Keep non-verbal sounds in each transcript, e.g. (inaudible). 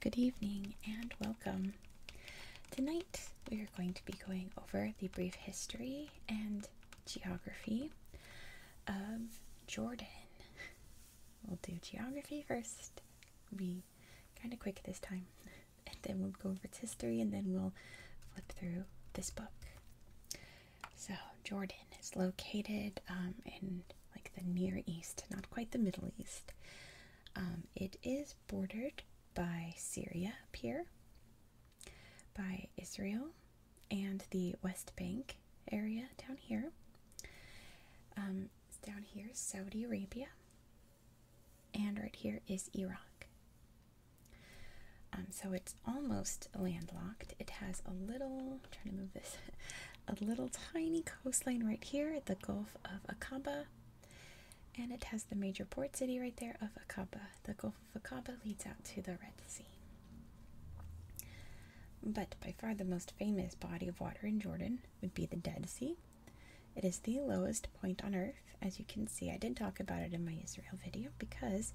Good evening and welcome. Tonight we are going to be going over the brief history and geography of Jordan. We'll do geography first. We'll be kind of quick this time. (laughs) and then we'll go over its history, and then we'll flip through this book. So Jordan is located um, in like the Near East, not quite the Middle East. Um, it is bordered by Syria up here, by Israel, and the West Bank area down here. Um, down here, Saudi Arabia, and right here is Iraq. Um, so it's almost landlocked. It has a little, i to move this, (laughs) a little tiny coastline right here, the Gulf of Aqaba, and it has the major port city right there of Aqaba. The Gulf of Aqaba leads out to the Red Sea. But by far the most famous body of water in Jordan would be the Dead Sea. It is the lowest point on Earth as you can see, I did talk about it in my Israel video because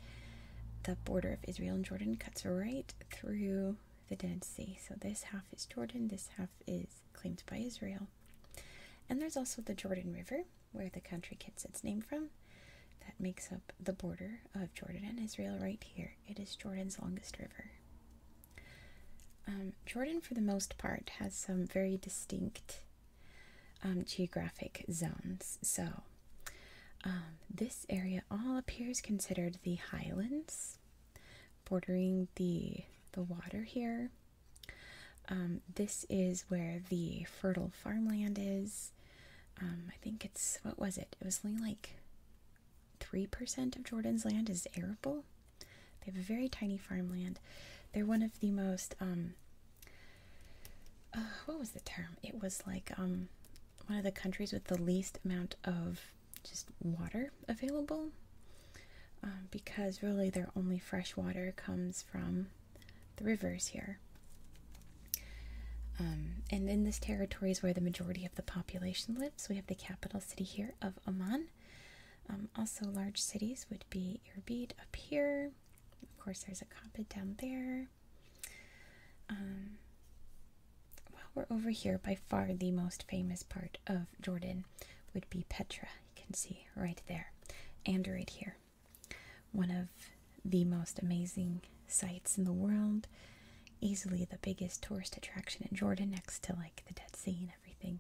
the border of Israel and Jordan cuts right through the Dead Sea. So this half is Jordan, this half is claimed by Israel. And there's also the Jordan River, where the country gets its name from. That makes up the border of Jordan and Israel right here. It is Jordan's longest river. Um, Jordan, for the most part, has some very distinct um, geographic zones. So, um, this area all appears considered the highlands, bordering the the water here. Um, this is where the fertile farmland is. I think it's what was it? It was only like three percent of Jordan's land is arable. They have a very tiny farmland. They're one of the most uh, what was the term? It was like um, one of the countries with the least amount of just water available um, because really their only fresh water comes from the rivers here. Um, and in this territory is where the majority of the population lives. We have the capital city here of Oman. also, large cities would be Irbid up here, of course, there's a carpet down there. Um, well, we're over here. By far, the most famous part of Jordan would be Petra. You can see right there, and right here. One of the most amazing sites in the world. Easily the biggest tourist attraction in Jordan, next to like the Dead Sea and everything.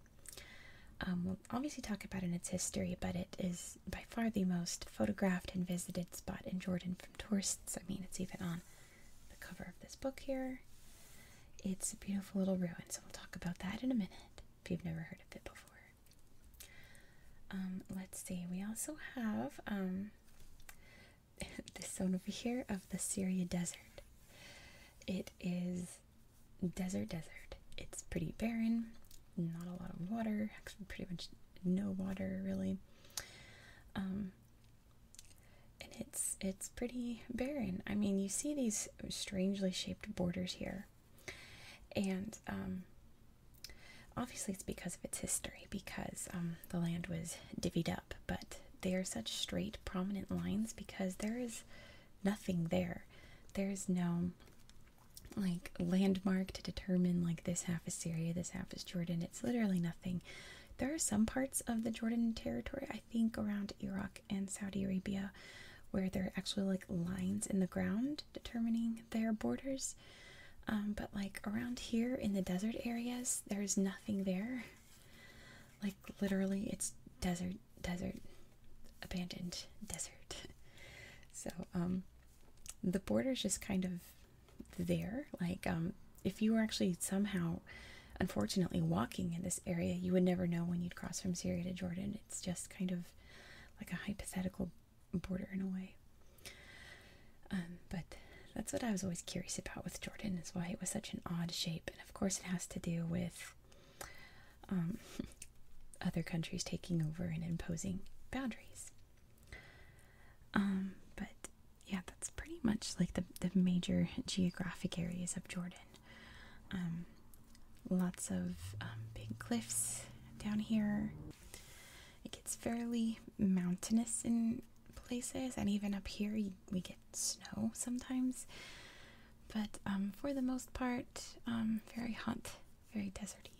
Um, we'll obviously talk about it in its history, but it is by far the most photographed and visited spot in Jordan from tourists. I mean, it's even on the cover of this book here. It's a beautiful little ruin, so we'll talk about that in a minute if you've never heard of it before. Um, let's see, we also have um, (laughs) this zone over here of the Syria desert. It is desert, desert. It's pretty barren, not a lot of water, actually, pretty much no water really. Um, and it's it's pretty barren. I mean, you see these strangely shaped borders here, and um, obviously it's because of its history, because um, the land was divvied up. But they are such straight, prominent lines because there is nothing there. There is no like landmark to determine like this half is Syria, this half is Jordan. It's literally nothing. There are some parts of the Jordan territory, I think around Iraq and Saudi Arabia, where there are actually like lines in the ground determining their borders. Um, but like around here in the desert areas, there's nothing there. Like literally, it's desert desert, abandoned desert. (laughs) so um, the border is just kind of there. Like um, if you were actually somehow, unfortunately, walking in this area, you would never know when you'd cross from Syria to Jordan. It's just kind of like a hypothetical border in a way. Um, but that's what I was always curious about with Jordan is why it was such an odd shape. And of course, it has to do with um, (laughs) other countries taking over and imposing boundaries. Um, but yeah, that's pretty much like the, the major geographic areas of Jordan. Um, lots of big cliffs down here. It gets fairly mountainous in places, and even up here we get snow sometimes. But for the most part, very hot very deserty.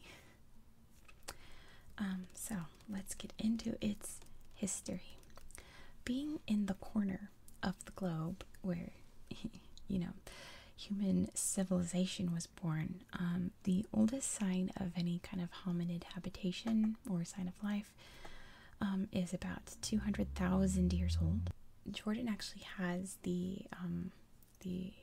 Um, so let's get into its history. Being in the corner of the globe where, (laughs) you know, human civilization was born, um, the oldest sign of any kind of hominid habitation or sign of life um, is about 200,000 years old. Jordan actually has the, um, the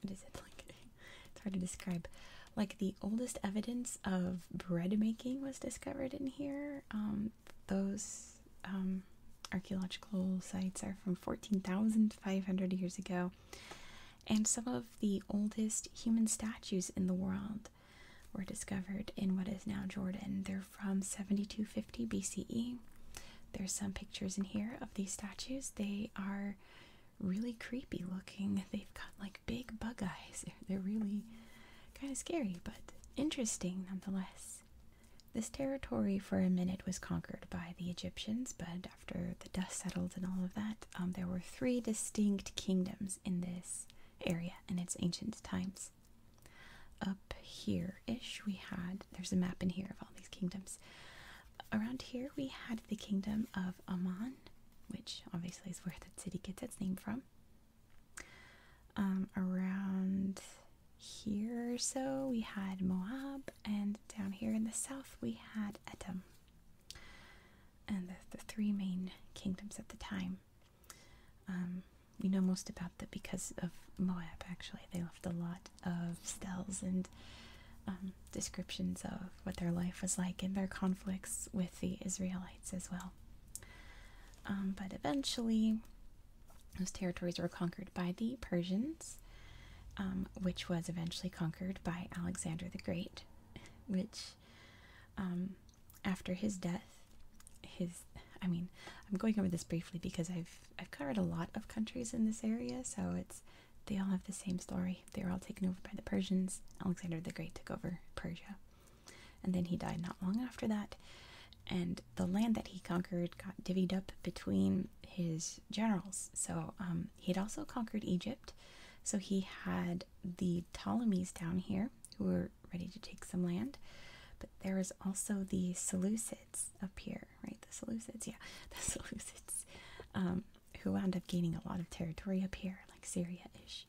what is it like? (laughs) it's hard to describe. Like the oldest evidence of bread making was discovered in here. Um, those um, archaeological sites are from 14,500 years ago, and some of the oldest human statues in the world were discovered in what is now Jordan. They're from 7250 BCE. There's some pictures in here of these statues. They are really creepy looking. They've got like big bug eyes. (laughs) They're really kind of scary, but interesting nonetheless. This territory for a minute was conquered by the Egyptians, but after the dust settled and all of that, um, there were three distinct kingdoms in this area in its ancient times. Up here ish, we had, there's a map in here of all these kingdoms. Around here we had the kingdom of Amman, which obviously is where the city gets its name from. Um, around here or so we had Moab, and down here in the south we had Edom. And the, three main kingdoms at the time. Um, we know most about them because of Moab, actually. They left a lot of stels and um, descriptions of what their life was like and their conflicts with the Israelites as well. Um, but eventually, those territories were conquered by the Persians, um, which was eventually conquered by Alexander the Great, which, after his death, his I mean, I'm going over this briefly because I've I've covered a lot of countries in this area, so it's they all have the same story. They were all taken over by the Persians. Alexander the Great took over Persia, and then he died not long after that. And the land that he conquered got divvied up between his generals. So um, he had also conquered Egypt. So he had the Ptolemies down here who were ready to take some land, but there was also the Seleucids up here right? The Seleucids, yeah, (laughs) the Seleucids, um, who wound up gaining a lot of territory up here, like Syria-ish.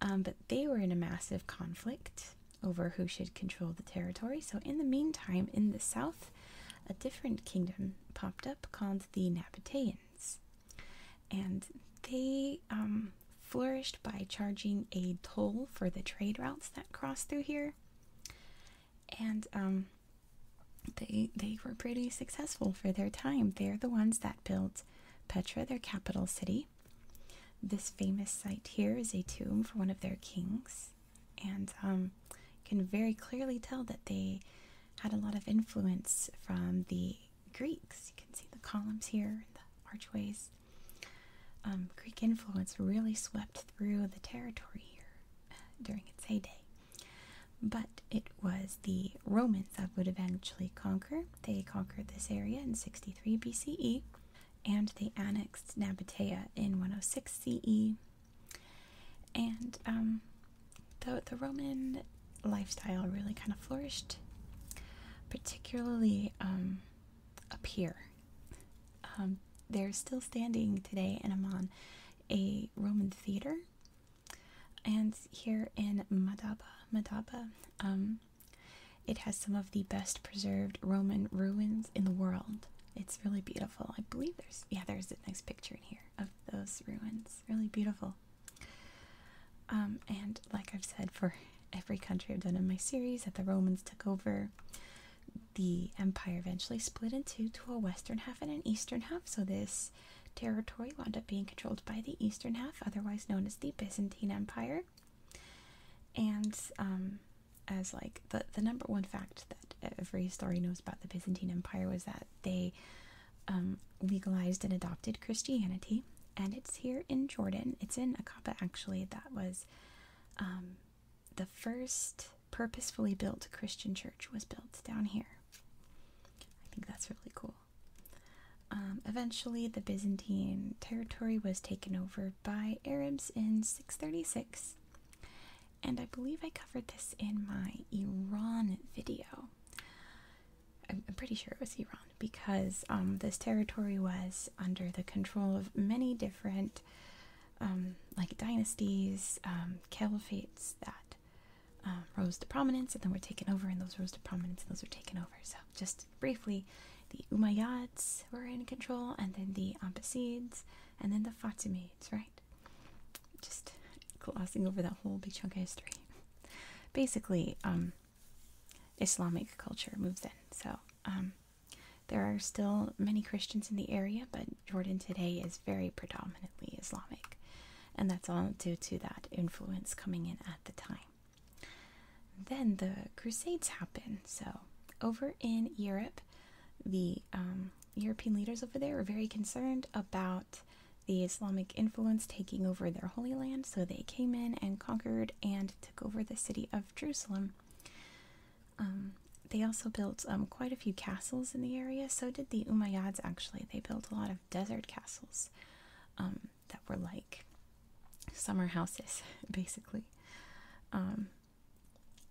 Um, but they were in a massive conflict over who should control the territory. So in the meantime, in the south, a different kingdom popped up called the Nabataeans, and they um, flourished by charging a toll for the trade routes that crossed through here. And they they were pretty successful for their time. They're the ones that built Petra, their capital city. This famous site here is a tomb for one of their kings, and um, can very clearly tell that they had a lot of influence from the Greeks. You can see the columns here, the archways. Um, Greek influence really swept through the territory here. Uh, during its heyday. But it was the Romans that would eventually conquer. They conquered this area in 63 BCE and they annexed Nabatea in 106 CE. And um, the, Roman lifestyle really kind of flourished, particularly um, up here. Um, they're still standing today and I'm on a Roman theater. And here in Madaba, Madaba, um, it has some of the best preserved Roman ruins in the world. It's really beautiful. I believe there's, yeah, there's a nice picture in here of those ruins. Really beautiful. Um, and like I've said for every country I've done in my series, that the Romans took over the empire eventually split in two to a western half and an eastern half, so this territory wound up being controlled by the eastern half, otherwise known as the Byzantine Empire. And um, as like the the number one fact that every story knows about the Byzantine Empire was that they um, legalized and adopted Christianity, and it's here in Jordan. It's in Aqaba actually. That was um, the first purposefully built Christian church was built down here. I think that's really cool. Um, eventually, the Byzantine territory was taken over by Arabs in 636, and I believe I covered this in my Iran video. I'm, pretty sure it was Iran because um, this territory was under the control of many different um, like dynasties, um, caliphates that um, rose to prominence and then were taken over, and those rose to prominence and those were taken over. So, just briefly, the Umayyads were in control, and then the Abbasids, and then the Fatimids, right? Just glossing over that whole big chunk of history. Basically, um, Islamic culture moves in. So, um, there are still many Christians in the area, but Jordan today is very predominantly Islamic, and that's all due to that influence coming in at the time. Then the Crusades happen. So, over in Europe, the um, European leaders over there were very concerned about the Islamic influence taking over their Holy Land, so they came in and conquered and took over the city of Jerusalem. Um, they also built um, quite a few castles in the area. So did the Umayyads, actually. They built a lot of desert castles um, that were like summer houses, (laughs) basically.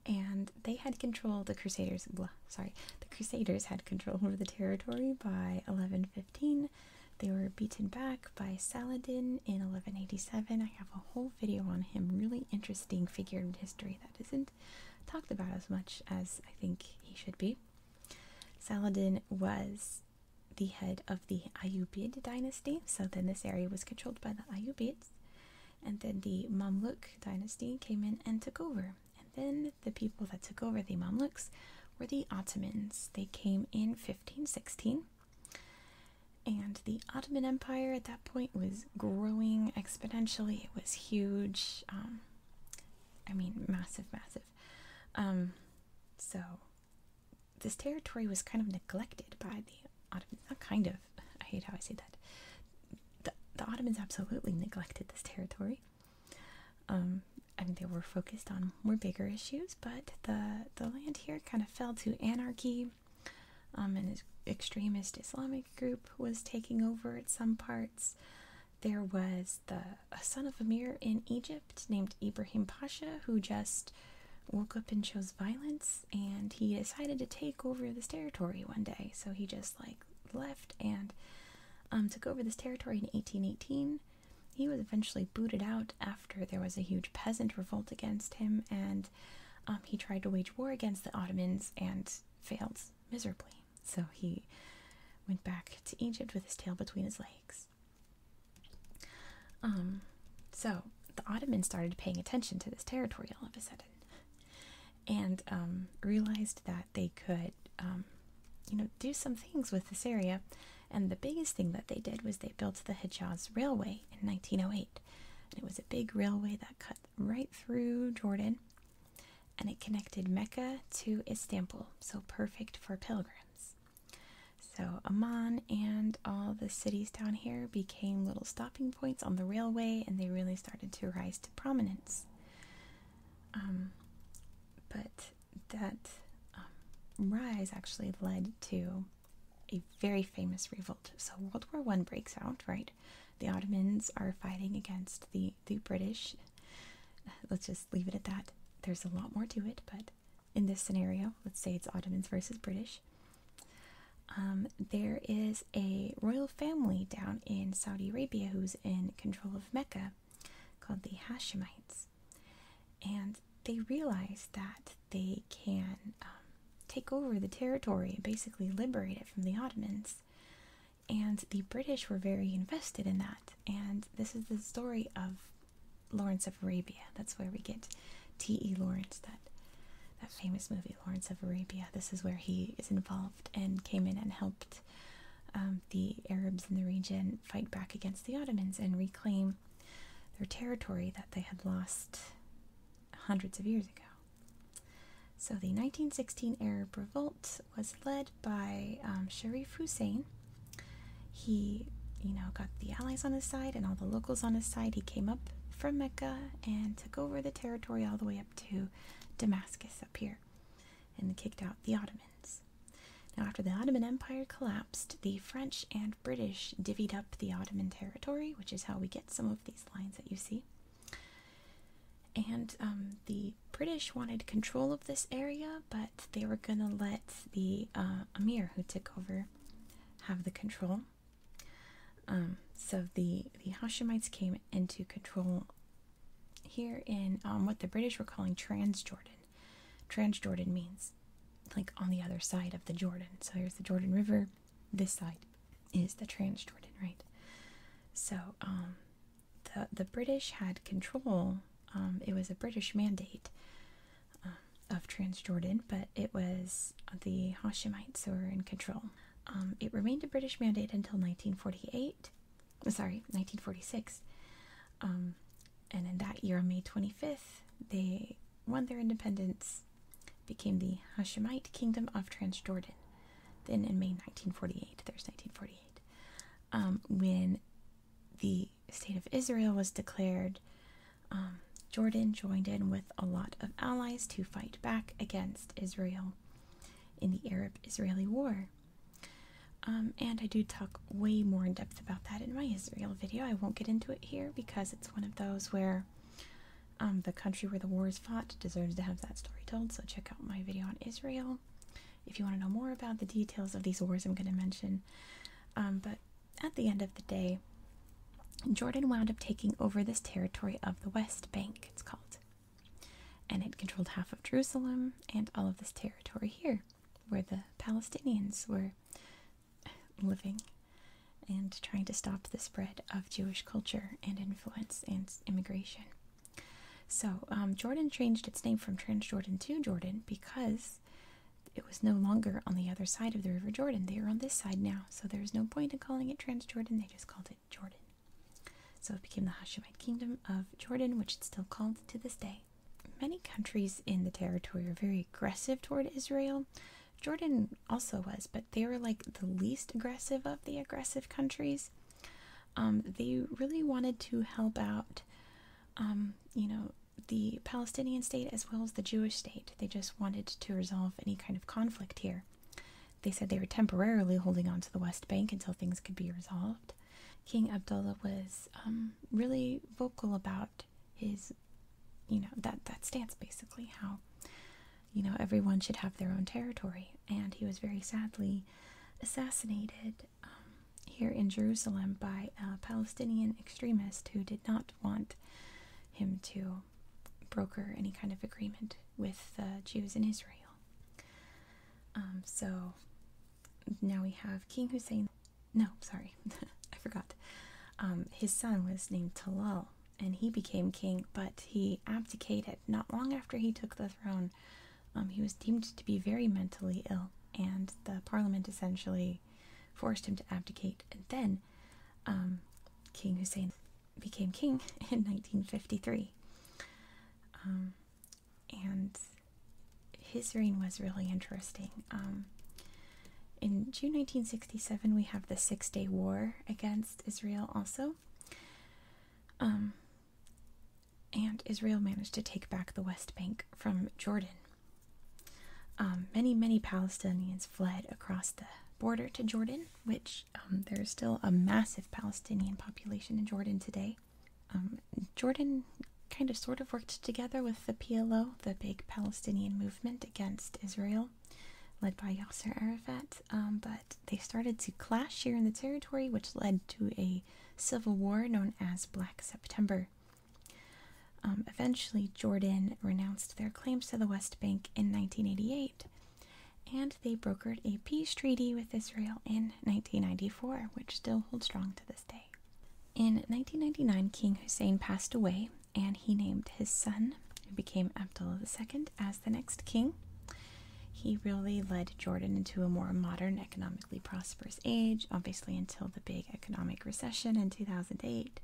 and they had control, the Crusaders, sorry, the Crusaders had control over the territory by 1115. They were beaten back by Saladin in 1187. I have a whole video on him, really interesting figure in history that is isn't talked about as much as I think he should be. Saladin was the head of the Ayyubid dynasty, so then this area was controlled by the Ayyubids, and then the Mamluk dynasty came in and took over. And then the people that took over the Mamluks were the Ottomans. They came in 1516. And the Ottoman Empire at that point was growing exponentially. It was huge. Um, I mean, massive, massive. Um, so this territory was kind of neglected by the Ottomans. Not kind of. I hate how I say that. The, Ottomans absolutely neglected this territory. Um, I mean, they were focused on more bigger issues, but the the land here kind of fell to anarchy, um, an extremist Islamic group was taking over at some parts. There was the a son of a Amir in Egypt named Ibrahim Pasha who just woke up and chose violence and he decided to take over this territory one day. So he just like left and um, took over this territory in 1818. He was eventually booted out after there was a huge peasant revolt against him, and um, he tried to wage war against the Ottomans and failed miserably, so he went back to Egypt with his tail between his legs. Um, so the Ottomans started paying attention to this territory all of a sudden, and um, realized that they could, um, you know, do some things with this area. And the biggest thing that they did was they built the Hijaz Railway in 1908, and it was a big railway that cut right through Jordan and it connected Mecca to Istanbul, so perfect for pilgrims. So Amman and all the cities down here became little stopping points on the railway and they really started to rise to prominence. Um, but that um, rise actually led to a very famous revolt. So World War One breaks out, right? the Ottomans are fighting against the the British. Let's just leave it at that. There's a lot more to it, but in this scenario, let's say it's Ottomans versus British. Um, there is a royal family down in Saudi Arabia who's in control of Mecca called the Hashemites. And they realize that they can um, take over the territory, basically liberate it from the Ottomans. And the British were very invested in that. And this is the story of Lawrence of Arabia. That's where we get T.E. Lawrence, that, that famous movie, Lawrence of Arabia. This is where he is involved and came in and helped um, the Arabs in the region fight back against the Ottomans and reclaim their territory that they had lost hundreds of years ago. So the 1916 Arab revolt was led by um, Sharif Hussein. He, you know, got the allies on his side and all the locals on his side. He came up from Mecca and took over the territory all the way up to Damascus up here and kicked out the Ottomans. Now, after the Ottoman Empire collapsed, the French and British divvied up the Ottoman territory, which is how we get some of these lines that you see. And um, the British wanted control of this area, but they were going to let the uh, Amir who took over have the control. Um, so the, the Hashemites came into control here in um, what the British were calling Transjordan. Transjordan means like on the other side of the Jordan. So here's the Jordan River, this side is the Transjordan, right? So um, the the British had control. Um, it was a British mandate um, of Transjordan, but it was the Hashemites who were in control. Um, it remained a British mandate until 1948. Sorry, 1946. and in that year, on May 25th, they won their independence became the Hashemite Kingdom of Transjordan. Then in May 1948, there's 1948, um, when the state of Israel was declared, um, Jordan joined in with a lot of allies to fight back against Israel in the Arab Israeli War. Um, and I do talk way more in depth about that in my Israel video. I won't get into it here because it's one of those where um, the country where the war is fought deserves to have that story told, so check out my video on Israel if you want to know more about the details of these wars I'm going to mention. Um, but at the end of the day, Jordan wound up taking over this territory of the West Bank, it's called. And it controlled half of Jerusalem and all of this territory here, where the Palestinians were living and trying to stop the spread of Jewish culture and influence and immigration. So, um, Jordan changed its name from Transjordan to Jordan because it was no longer on the other side of the River Jordan. They are on this side now, so there's no point in calling it Transjordan. They just called it Jordan. So it became the Hashemite Kingdom of Jordan, which it's still called to this day. Many countries in the territory are very aggressive toward Israel, Jordan also was, but they were like the least aggressive of the aggressive countries. Um, they really wanted to help out, um, you know, the Palestinian state as well as the Jewish state. They just wanted to resolve any kind of conflict here. They said they were temporarily holding on to the West Bank until things could be resolved. King Abdullah was um, really vocal about his, you know, that, that stance basically, how you know, everyone should have their own territory. And he was very sadly assassinated um, here in Jerusalem by a Palestinian extremist who did not want him to broker any kind of agreement with the Jews in Israel. Um, so now we have King Hussein. No, sorry, (laughs) I forgot. Um, his son was named Talal, and he became king, but he abdicated not long after he took the throne. Um, he was deemed to be very mentally ill, and the parliament essentially forced him to abdicate. And then um, King Hussein became king (laughs) in 1953. Um, and his reign was really interesting. in June 1967, we have the Six Day War against Israel, also. Um, and Israel managed to take back the West Bank from Jordan. Um, many, many Palestinians fled across the border to Jordan, which um, there's still a massive Palestinian population in Jordan today. Um, Jordan kind of sort of worked together with the PLO, the big Palestinian movement against Israel led by Yasser Arafat, um, but they started to clash here in the territory, which led to a civil war known as Black September. Um, eventually, Jordan renounced their claims to the West Bank in 1988, and they brokered a peace treaty with Israel in 1994, which still holds strong to this day. In 1999, King Hussein passed away, and he named his son, who became Abdullah II, as the next king. He really led Jordan into a more modern, economically prosperous age, obviously, until the big economic recession in 2008.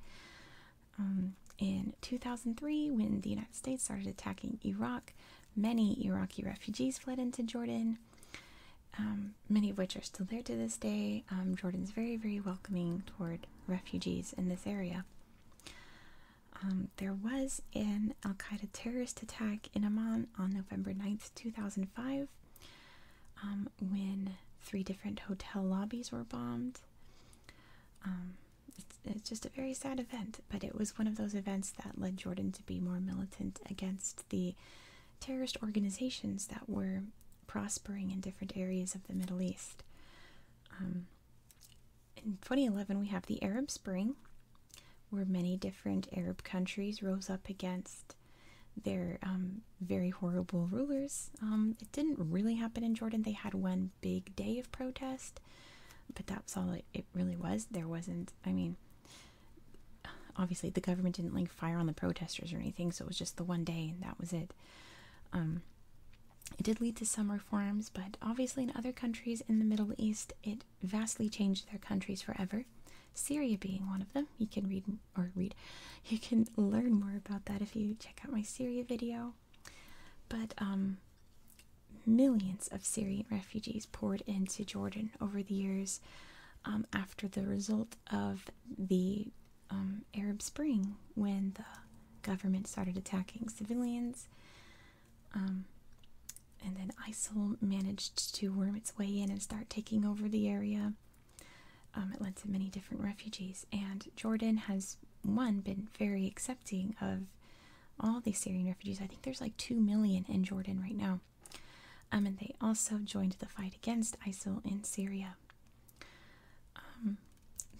Um, in 2003, when the United States started attacking Iraq, many Iraqi refugees fled into Jordan, um, many of which are still there to this day. Um, Jordan's very, very welcoming toward refugees in this area. Um, there was an Al Qaeda terrorist attack in Amman on November 9th, 2005, um, when three different hotel lobbies were bombed. Um, it's, just a very sad event, but it was one of those events that led Jordan to be more militant against the terrorist organizations that were prospering in different areas of the Middle East in 2011, we have the Arab Spring, where many different Arab countries rose up against their um, very horrible rulers. Um, it didn't really happen in Jordan. They had one big day of protest, but that was all it, really was. There wasn't, I mean, obviously the government didn't like fire on the protesters or anything, so it was just the one day and that was it. Um, it did lead to some reforms, but obviously, in other countries in the Middle East, it vastly changed their countries forever. Syria being one of them. You can read or read, (laughs) you can learn more about that if you check out my Syria video. But um, millions of Syrian refugees poured into Jordan over the years um, after the result of the um, Arab Spring when the government started attacking civilians um, and then ISIL managed to worm its way in and start taking over the area. Um, it led to many different refugees, and Jordan has one been very accepting of all these Syrian refugees. I think there's like two million in Jordan right now. Um, and they also joined the fight against ISIL in Syria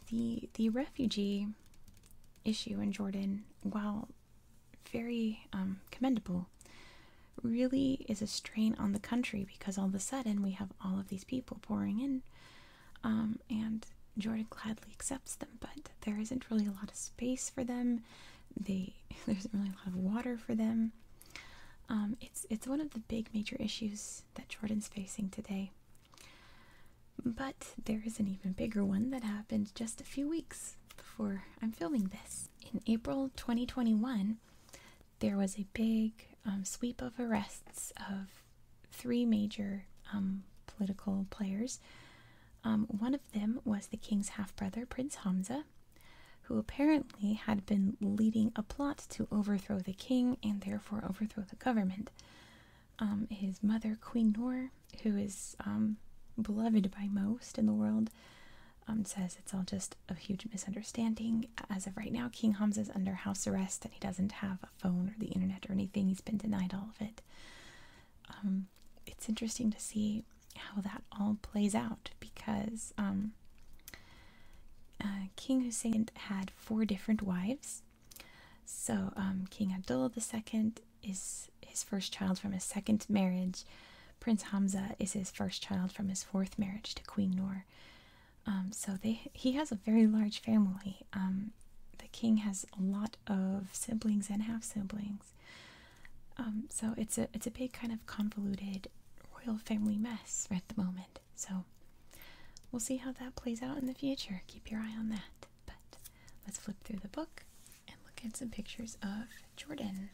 the the refugee issue in Jordan, while very um, commendable, really is a strain on the country because all of a sudden we have all of these people pouring in, um, and Jordan gladly accepts them, but there isn't really a lot of space for them. (laughs) there isn't really a lot of water for them. Um, it's it's one of the big major issues that Jordan's facing today. But there is an even bigger one that happened just a few weeks before I'm filming this. In April 2021, there was a big um, sweep of arrests of three major um, political players. Um, one of them was the king's half brother, Prince Hamza, who apparently had been leading a plot to overthrow the king and therefore overthrow the government. Um, his mother, Queen Nor, who is um, beloved by most in the world, um, says it's all just a huge misunderstanding. As of right now, King is under house arrest and he doesn't have a phone or the internet or anything. He's been denied all of it. it's interesting to see how that all plays out because uh, King Hussein had four different wives. So um, King Abdullah II is his first child from his second marriage. Prince Hamza is his first child from his fourth marriage to Queen Noor. Um, so he has a very large family. Um, the king has a lot of siblings and half siblings. so it's a it's a big kind of convoluted royal family mess at the moment. So we'll see how that plays out in the future. Keep your eye on that. But Let's flip through the book and look at some pictures of Jordan.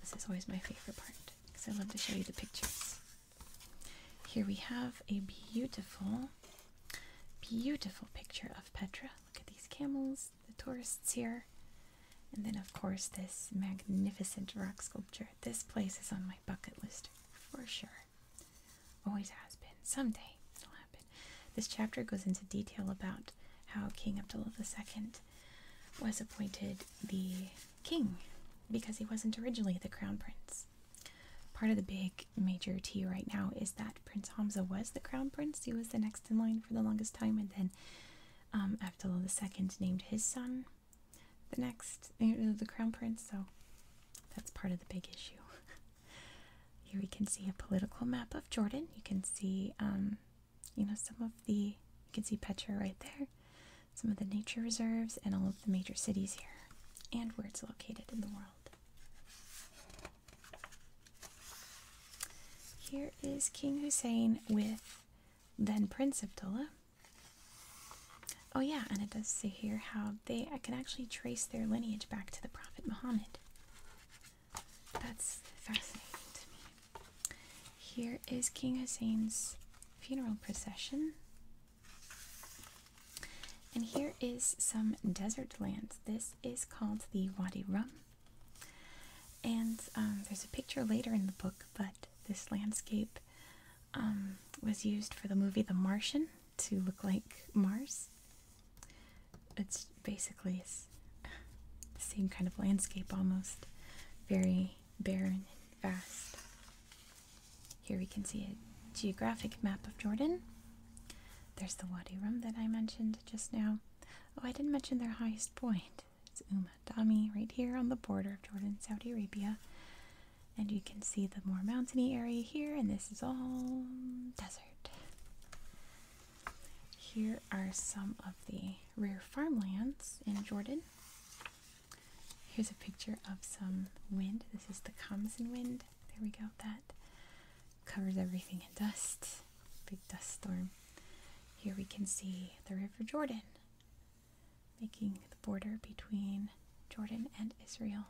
This is always my favorite part because I love to show you the pictures. Here we have a beautiful, beautiful picture of Petra. Look at these camels, the tourists here. And then, of course, this magnificent rock sculpture. This place is on my bucket list for sure. Always has been. Someday it'll happen. This chapter goes into detail about how King Abdullah II was appointed the king because he wasn't originally the crown prince. Part of the big major tea right now is that Prince Hamza was the crown prince. He was the next in line for the longest time, and then um, Abdullah II named his son the next, the crown prince. So that's part of the big issue. (laughs) Here we can see a political map of Jordan. You can see, um, you know, some of the, you can see Petra right there, some of the nature reserves, and all of the major cities here, and where it's located in the world. Here is King Hussein with then Prince Abdullah. Oh, yeah, and it does say here how they I can actually trace their lineage back to the Prophet Muhammad. That's fascinating to me. Here is King Hussein's funeral procession. And here is some desert land. This is called the Wadi Rum. And um, there's a picture later in the book, but this landscape um, was used for the movie The Martian to look like Mars. It's basically the same kind of landscape almost, very barren and vast. Here we can see a geographic map of Jordan. There's the Wadi Rum that I mentioned just now. Oh, I didn't mention their highest point. It's Umm Dami right here on the border of Jordan and Saudi Arabia. And you can see the more mountainy area here, and this is all desert. Here are some of the rare farmlands in Jordan. Here's a picture of some wind. This is the Kamsin wind. There we go. That covers everything in dust. Big dust storm. Here we can see the River Jordan, making the border between Jordan and Israel.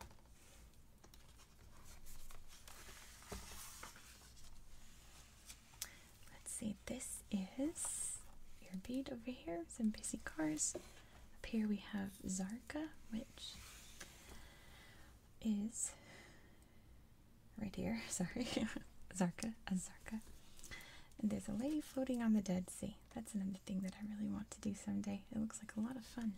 Let's see, this is your bead over here, some busy cars. Up here we have Zarka, which is right here, (laughs) sorry, Zarka, Zarka. And there's a lady floating on the Dead Sea. That's an thing that I really want to do someday. It looks like a lot of fun.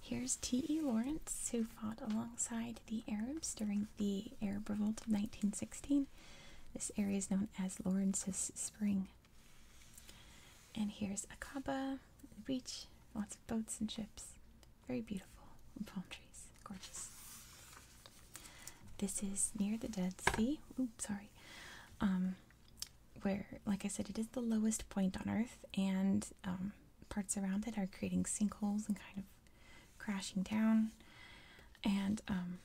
Here's T.E. Lawrence, who fought alongside the Arabs during the Arab Revolt of 1916. This area is known as Lawrence's Spring. And here's Akaba, the beach, lots of boats and ships. Very beautiful. palm trees. Gorgeous. This is near the Dead Sea. sorry. Um, where, like I said, it is the lowest point on Earth, and um, parts around it are creating sinkholes and kind of crashing down, and um,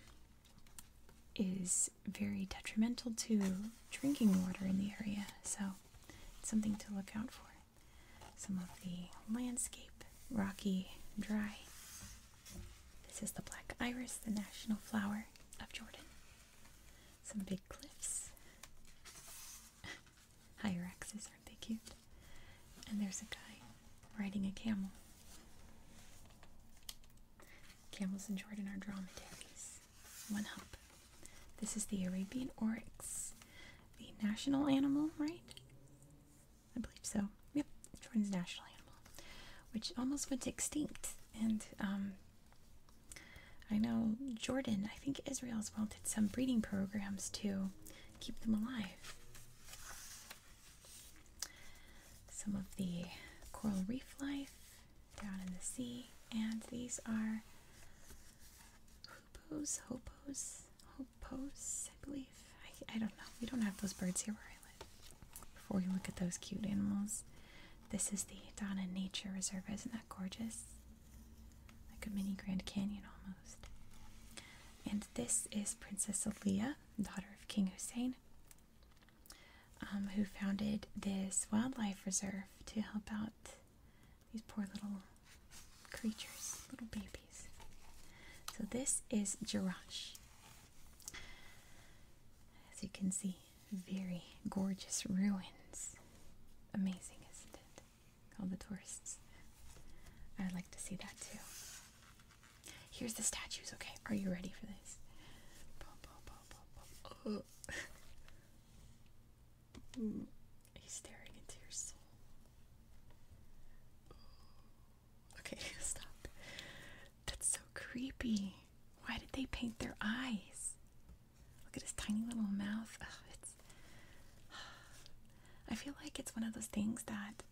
is very detrimental to drinking water in the area. So, it's something to look out for. Some of the landscape, rocky, dry. This is the black iris, the national flower of Jordan. Some big cliffs. (laughs) Higher axes, aren't they cute? And there's a guy riding a camel. Camels in Jordan are dromedaries. One hump. This is the Arabian oryx, the national animal, right? I believe so. Yep, Jordan's national animal, which almost went extinct. And um, I know Jordan, I think Israel as well, did some breeding programs to keep them alive. Some of the coral reef life down in the sea, and these are hoopoes, hoopoes, hoopoes. I believe. I don't know. We don't have those birds here where I live. Before we look at those cute animals, this is the Donna Nature Reserve. Isn't that gorgeous? Like a mini Grand Canyon almost. And this is Princess Aliyah, daughter of King Hussein, um, who founded this wildlife reserve to help out these poor little creatures, little babies. So this is Jirash. As you can see, very gorgeous ruins. Amazing, isn't it? All the tourists. I would like to see that too. Here's the statues, okay? Are you ready for this? He's staring into your soul. Okay, (laughs) stop. That's so creepy. Why did they paint their eyes? Look at his tiny little mouth. it's. (sighs) I feel like it's one of those things that,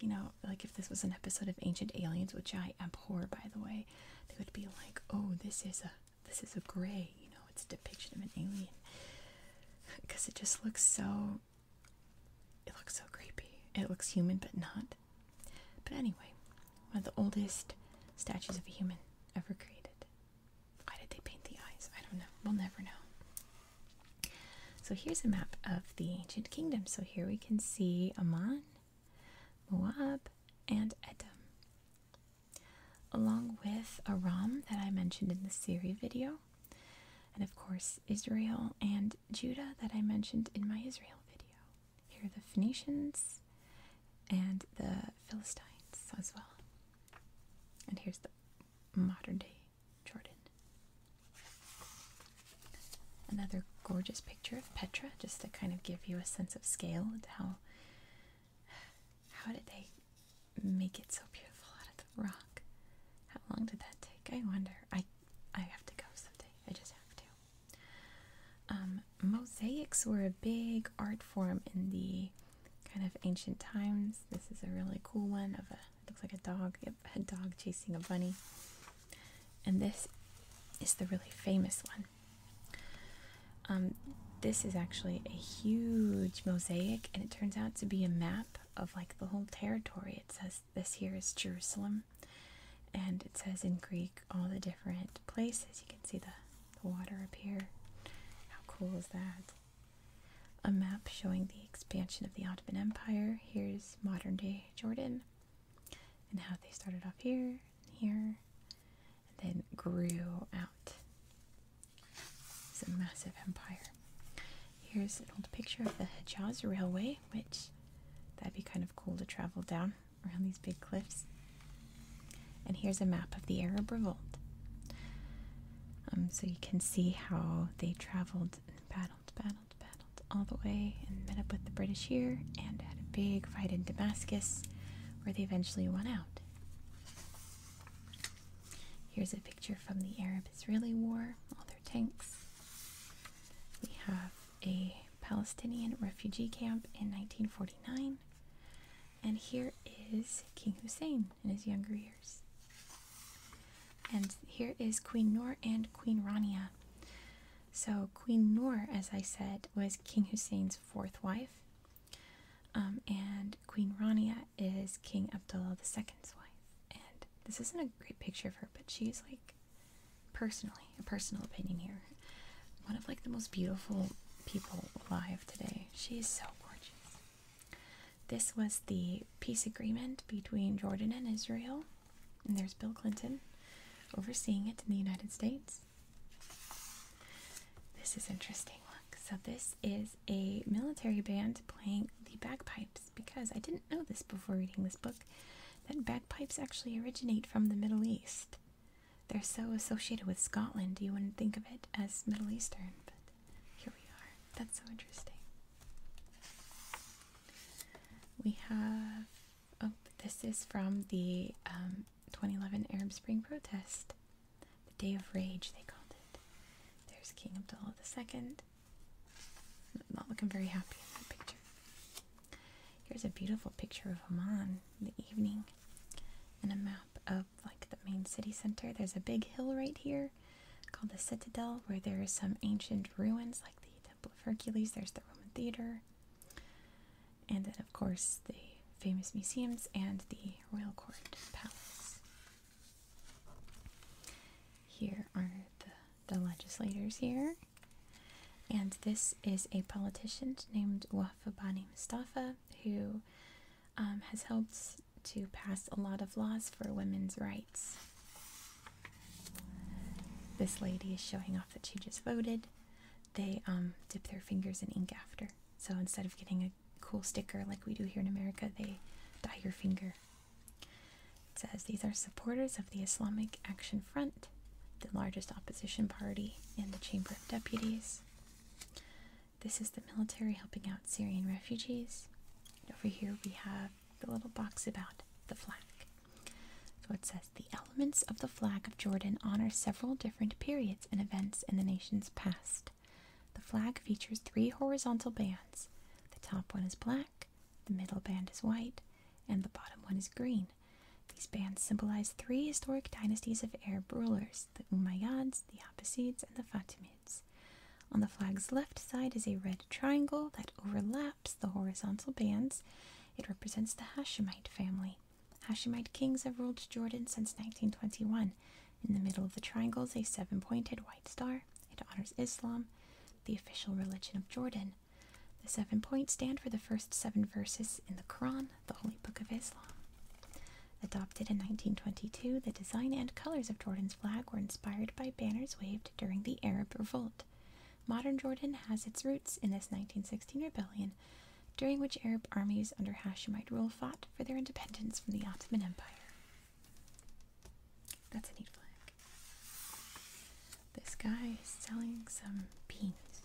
you know, like if this was an episode of Ancient Aliens, which I abhor, by the way, they would be like, "Oh, this is a this is a gray." You know, it's a depiction of an alien because (laughs) it just looks so. It looks so creepy. It looks human, but not. But anyway, one of the oldest statues of a human ever created. Why did they paint the eyes? I don't know. We'll never know. So here's a map of the ancient kingdom. So here we can see Amman, Moab, and Edom. Along with Aram that I mentioned in the Syria video, and of course Israel and Judah that I mentioned in my Israel video. Here are the Phoenicians and the Philistines as well. And here's the modern day Jordan. Another gorgeous picture of Petra, just to kind of give you a sense of scale and how how did they make it so beautiful out of the rock? How long did that take? I wonder. I I have to go someday. I just have to. Um, mosaics were a big art form in the kind of ancient times. This is a really cool one of a it looks like a dog, a dog chasing a bunny. And this is the really famous one. Um, this is actually a huge mosaic, and it turns out to be a map of like the whole territory. It says this here is Jerusalem, and it says in Greek all the different places. You can see the, water up here. How cool is that? A map showing the expansion of the Ottoman Empire. Here's modern day Jordan and how they started off here, here, and then grew out. It's a massive empire. Here's an old picture of the Hejaz Railway, which that'd be kind of cool to travel down around these big cliffs. And here's a map of the Arab revolt. Um, so you can see how they traveled and battled, battled, battled all the way and met up with the British here and had a big fight in Damascus where they eventually won out. Here's a picture from the Arab Israeli War, all their tanks. We have a Palestinian refugee camp in 1949. And here is King Hussein in his younger years. And here is Queen Noor and Queen Rania. So, Queen Noor, as I said, was King Hussein's fourth wife. Um, and Queen Rania is King Abdullah II's wife. And this isn't a great picture of her, but she's like personally, a personal opinion here, one of like the most beautiful people alive today. She's so gorgeous. This was the peace agreement between Jordan and Israel, and there's Bill Clinton overseeing it in the United States. This is interesting. Look, so this is a military band playing the bagpipes because I didn't know this before reading this book that bagpipes actually originate from the Middle East they're so associated with Scotland, Do you want to think of it as Middle Eastern, but here we are. That's so interesting. We have, oh, this is from the um, 2011 Arab Spring protest. The Day of Rage, they called it. There's King Abdullah II. Not looking very happy in that picture. Here's a beautiful picture of Amman in the evening and a map of like the main city center. There's a big hill right here called the Citadel where there are some ancient ruins like the Temple of Hercules. There's the Roman Theater. And then, of course, the famous museums and the royal court palace. Here are the, the legislators here. And this is a politician named Wafa Bani Mustafa who um, has helped to pass a lot of laws for women's rights. This lady is showing off that she just voted. They um, dip their fingers in ink after. So instead of getting a cool sticker like we do here in America, they dye your finger. It says these are supporters of the Islamic Action Front, the largest opposition party in the Chamber of Deputies. This is the military helping out Syrian refugees. over here we have the little box about the flag. So it says the elements of the flag of Jordan honor several different periods and events in the nation's past. The flag features three horizontal bands. The top one is black, the middle band is white, and the bottom one is green. These bands symbolize three historic dynasties of Arab rulers the Umayyads, the Abbasids, and the Fatimids. On the flag's left side is a red triangle that overlaps the horizontal bands. It represents the Hashemite family. Hashemite kings have ruled Jordan since 1921. In the middle of the triangle is a seven pointed white star. It honors Islam, the official religion of Jordan. The seven points stand for the first seven verses in the Quran, the Holy Book of Islam. Adopted in 1922, the design and colors of Jordan's flag were inspired by banners waved during the Arab Revolt. Modern Jordan has its roots in this 1916 rebellion, during which Arab armies under Hashemite rule fought for their independence from the Ottoman Empire. That's a neat flag. This guy is selling some beans.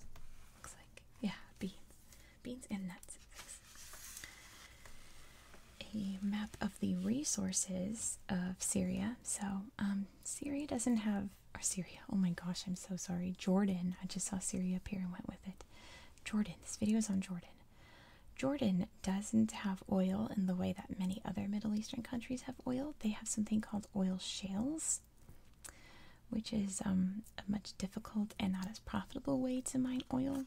Looks like, yeah, beans. Beans and nuts. A map of the resources of Syria. So, um, Syria doesn't have, or Syria, oh my gosh, I'm so sorry. Jordan, I just saw Syria appear and went with it. Jordan, this video is on Jordan. Jordan doesn't have oil in the way that many other Middle Eastern countries have oil. They have something called oil shales which is um, a much difficult and not as profitable way to mine oil,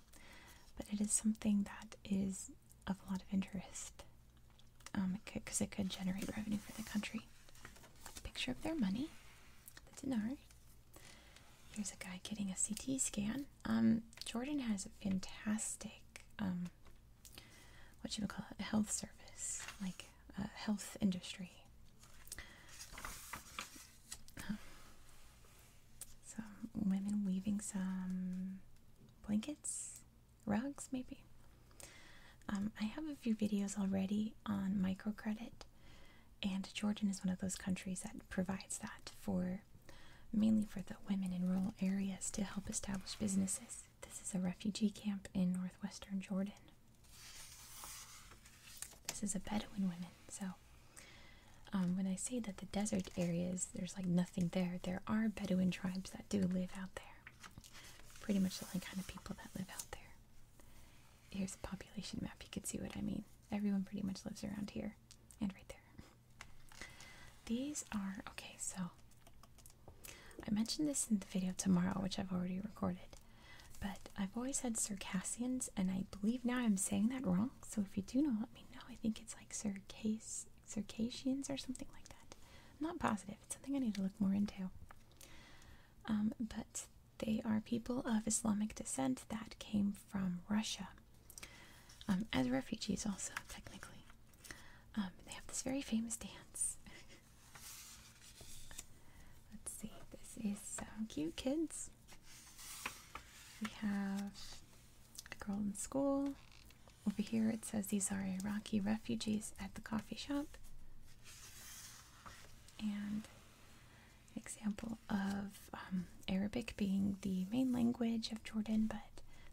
but it is something that is of a lot of interest because um, it, could generate revenue for the country. Picture of their money, the dinar. Here's a guy getting a CT scan. Um, Jordan has a fantastic, what you would call it, health service. Like health industry. Some women weaving some blankets, rugs, maybe. Um, I have a few videos already on microcredit, and Jordan is one of those countries that provides that for mainly for the women in rural areas to help establish businesses. This is a refugee camp in northwestern Jordan. This is a Bedouin woman, so um, when I say that the desert areas, there's like nothing there. There are Bedouin tribes that do live out there. Pretty much the only kind of people that live out there. Here's a population map. You can see what I mean. Everyone pretty much lives around here and right there. These are okay. So I mentioned this in the video tomorrow, which I've already recorded. But I've always had Circassians, and I believe now I'm saying that wrong. So if you do know, let me know. I think it's like Circass Circassians or something like that. not positive. It's something I need to look more into. Um, but they are people of Islamic descent that came from Russia um, as refugees, also technically. Um, they have this very famous dance. (laughs) Let's see, this is so cute, kids. We have a girl in school. Over here it says these are Iraqi refugees at the coffee shop. And an example of um, Arabic being the main language of Jordan, but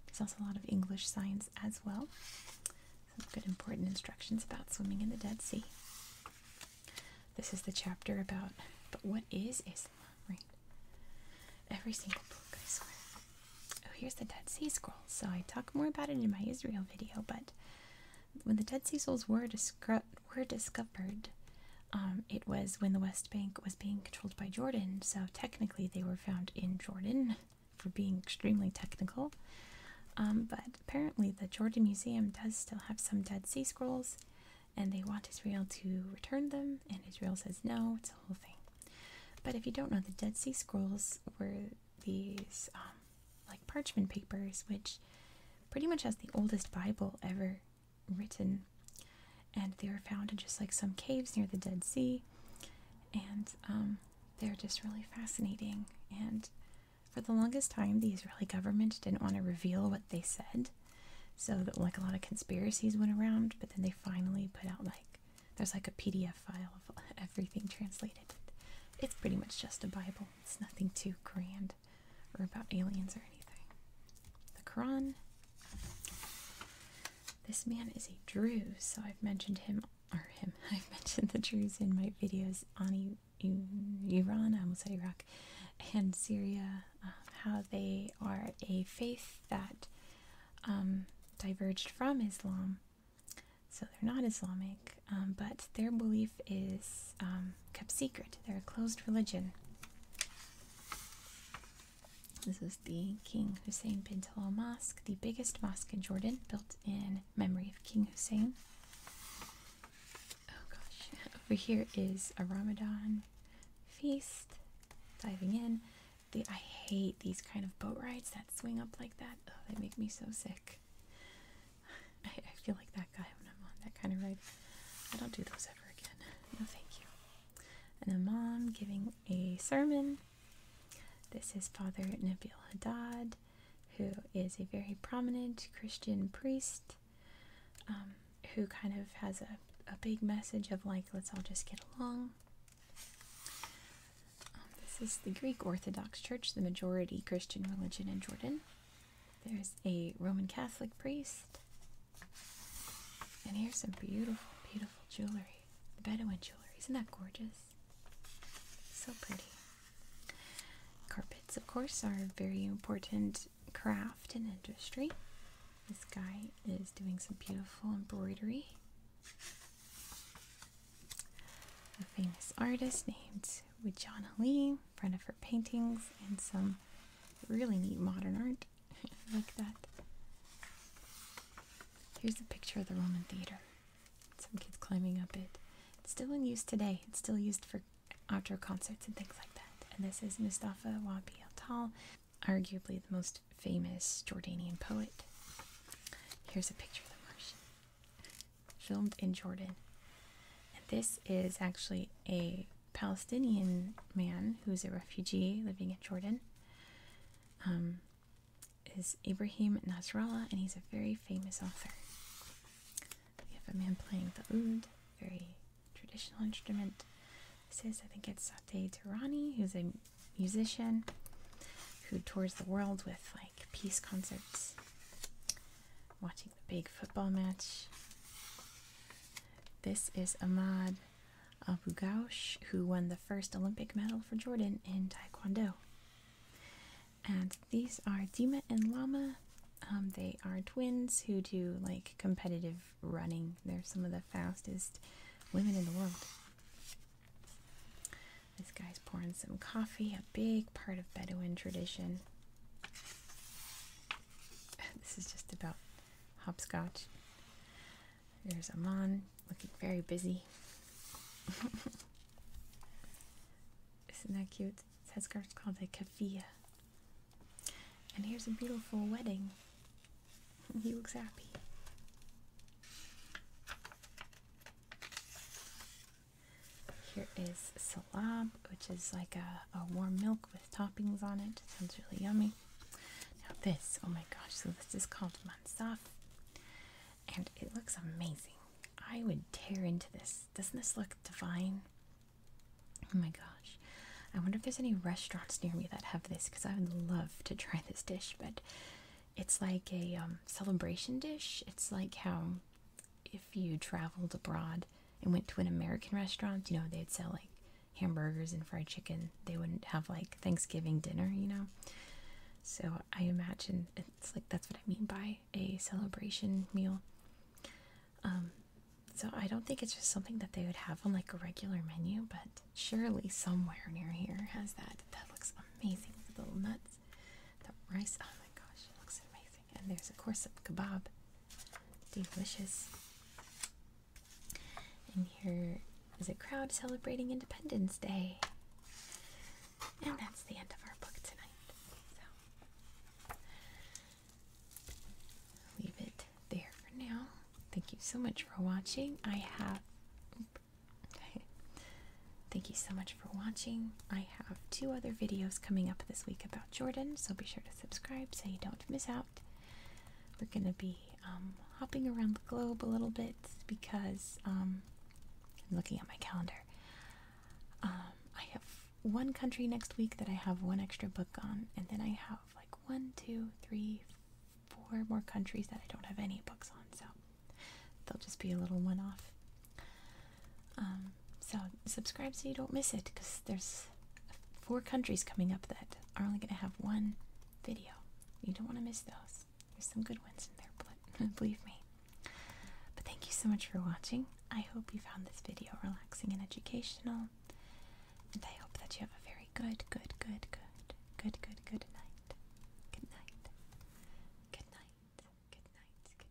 there's also a lot of English signs as well. Some good important instructions about swimming in the Dead Sea. This is the chapter about, but what is Israel? right? Every single book, I swear. Oh, here's the Dead Sea Scrolls. So I talk more about it in my Israel video, but when the Dead Sea Scrolls were, disco were discovered, um, it was when the West Bank was being controlled by Jordan, so technically they were found in Jordan for being extremely technical. Um, but apparently the Jordan Museum does still have some Dead Sea Scrolls, and they want Israel to return them, and Israel says no, it's a whole thing. But if you don't know, the Dead Sea Scrolls were these um, like parchment papers, which pretty much has the oldest Bible ever written. And they were found in just like some caves near the Dead Sea. And um, they're just really fascinating. And for the longest time, the Israeli government didn't want to reveal what they said, so that like a lot of conspiracies went around. But then they finally put out like there's like a PDF file of (laughs) everything translated. It's pretty much just a Bible. It's nothing too grand or about aliens or anything. The Quran. This man is a Druze, so I've mentioned him or him. (laughs) I've mentioned the Druze in my videos. Ani Iran, almost said Iraq, and Syria, uh, how they are a faith that um, diverged from Islam. So they're not Islamic, um, but their belief is um, kept secret. They're a closed religion. This is the King Hussein bin Talal Mosque, the biggest mosque in Jordan, built in memory of King Hussein. Oh gosh, over here is a Ramadan feast. Diving in, I hate these kind of boat rides that swing up like that. Oh, they make me so sick. I, feel like that guy when I'm on that kind of ride. I don't do those ever again. No, thank you. And a mom giving a sermon. This is Father Nabil Haddad who is a very prominent Christian priest um, who kind of has a, a big message of like, let's all just get along. Um, this is the Greek Orthodox Church, the majority Christian religion in Jordan. There's a Roman Catholic priest. And here's some beautiful, beautiful jewelry. Bedouin jewelry. Isn't that gorgeous? So pretty. Carpets, of course, are a very important craft and industry. This guy is doing some beautiful embroidery. A famous artist named Wijana Lee, friend of her paintings, and some really neat modern art. (laughs) like that. Here's a picture of the Roman theater. Some kids climbing up it. It's still in use today. It's still used for outdoor concerts and things like that. And this is Mustafa Wabi al Tal, arguably the most famous Jordanian poet. Here's a picture of the Martian, filmed in Jordan. And this is actually a Palestinian man who's a refugee living in Jordan. Um, is Ibrahim Nasrallah, and he's a very famous author. We have a man playing the oud, very traditional instrument. This is, I think it's Sateh Tirani, who's a musician who tours the world with like peace concerts, watching the big football match. This is Ahmad Abu Ghosh, who won the first Olympic medal for Jordan in Taekwondo and these are Dima and Lama. Um, they are twins who do like competitive running. They're some of the fastest women in the world. This guy's pouring some coffee, a big part of Bedouin tradition. (laughs) This is just about hopscotch. There's Amon looking very busy. (laughs) Isn't that cute? It says called a kafia. And here's a beautiful wedding. he looks happy. Here is salab, which is like a, a warm milk with toppings on it. Sounds really yummy. Now this, oh my gosh, so this is called mansaf. And it looks amazing. I would tear into this. Doesn't this look divine? Oh my gosh. I wonder if there's any restaurants near me that have this because I would love to try this dish, but it's like a um, celebration dish. It's like how if you traveled abroad and went to an American restaurant, you know, they'd sell like hamburgers and fried chicken. They wouldn't have like Thanksgiving dinner, you know? So I imagine it's like that's what I mean by a celebration meal. Um, so I don't think it's just something that they would have on like a regular menu, but surely somewhere near here has that. That looks amazing. The little nuts, the rice. Oh my gosh, it looks amazing. And there's of course a kebab. Delicious. And here is a crowd celebrating Independence Day. And that's the end of our book tonight. So leave it there for now. Thank you so much for watching. I have (laughs) Thank you so much for watching. I have two other videos coming up this week about Jordan, so be sure to subscribe so you don't miss out. We're going to be um, hopping around the globe a little bit because um, I'm looking at my calendar. Um, I have one country next week that I have one extra book on, and then I have like one, two, three, four more countries that I don't have any books on, so they'll just be a little one off. Um, so subscribe so you don't miss it because there's four countries coming up that are only going to have one video. You don't want to miss those. There's some good ones in there, (laughs) believe me. But thank you so much for watching. I hope you found this video relaxing and educational. And I hope that you have a very good, good, good, good, good, good, good night. Good night. Good night. Good night. Good night. Good night.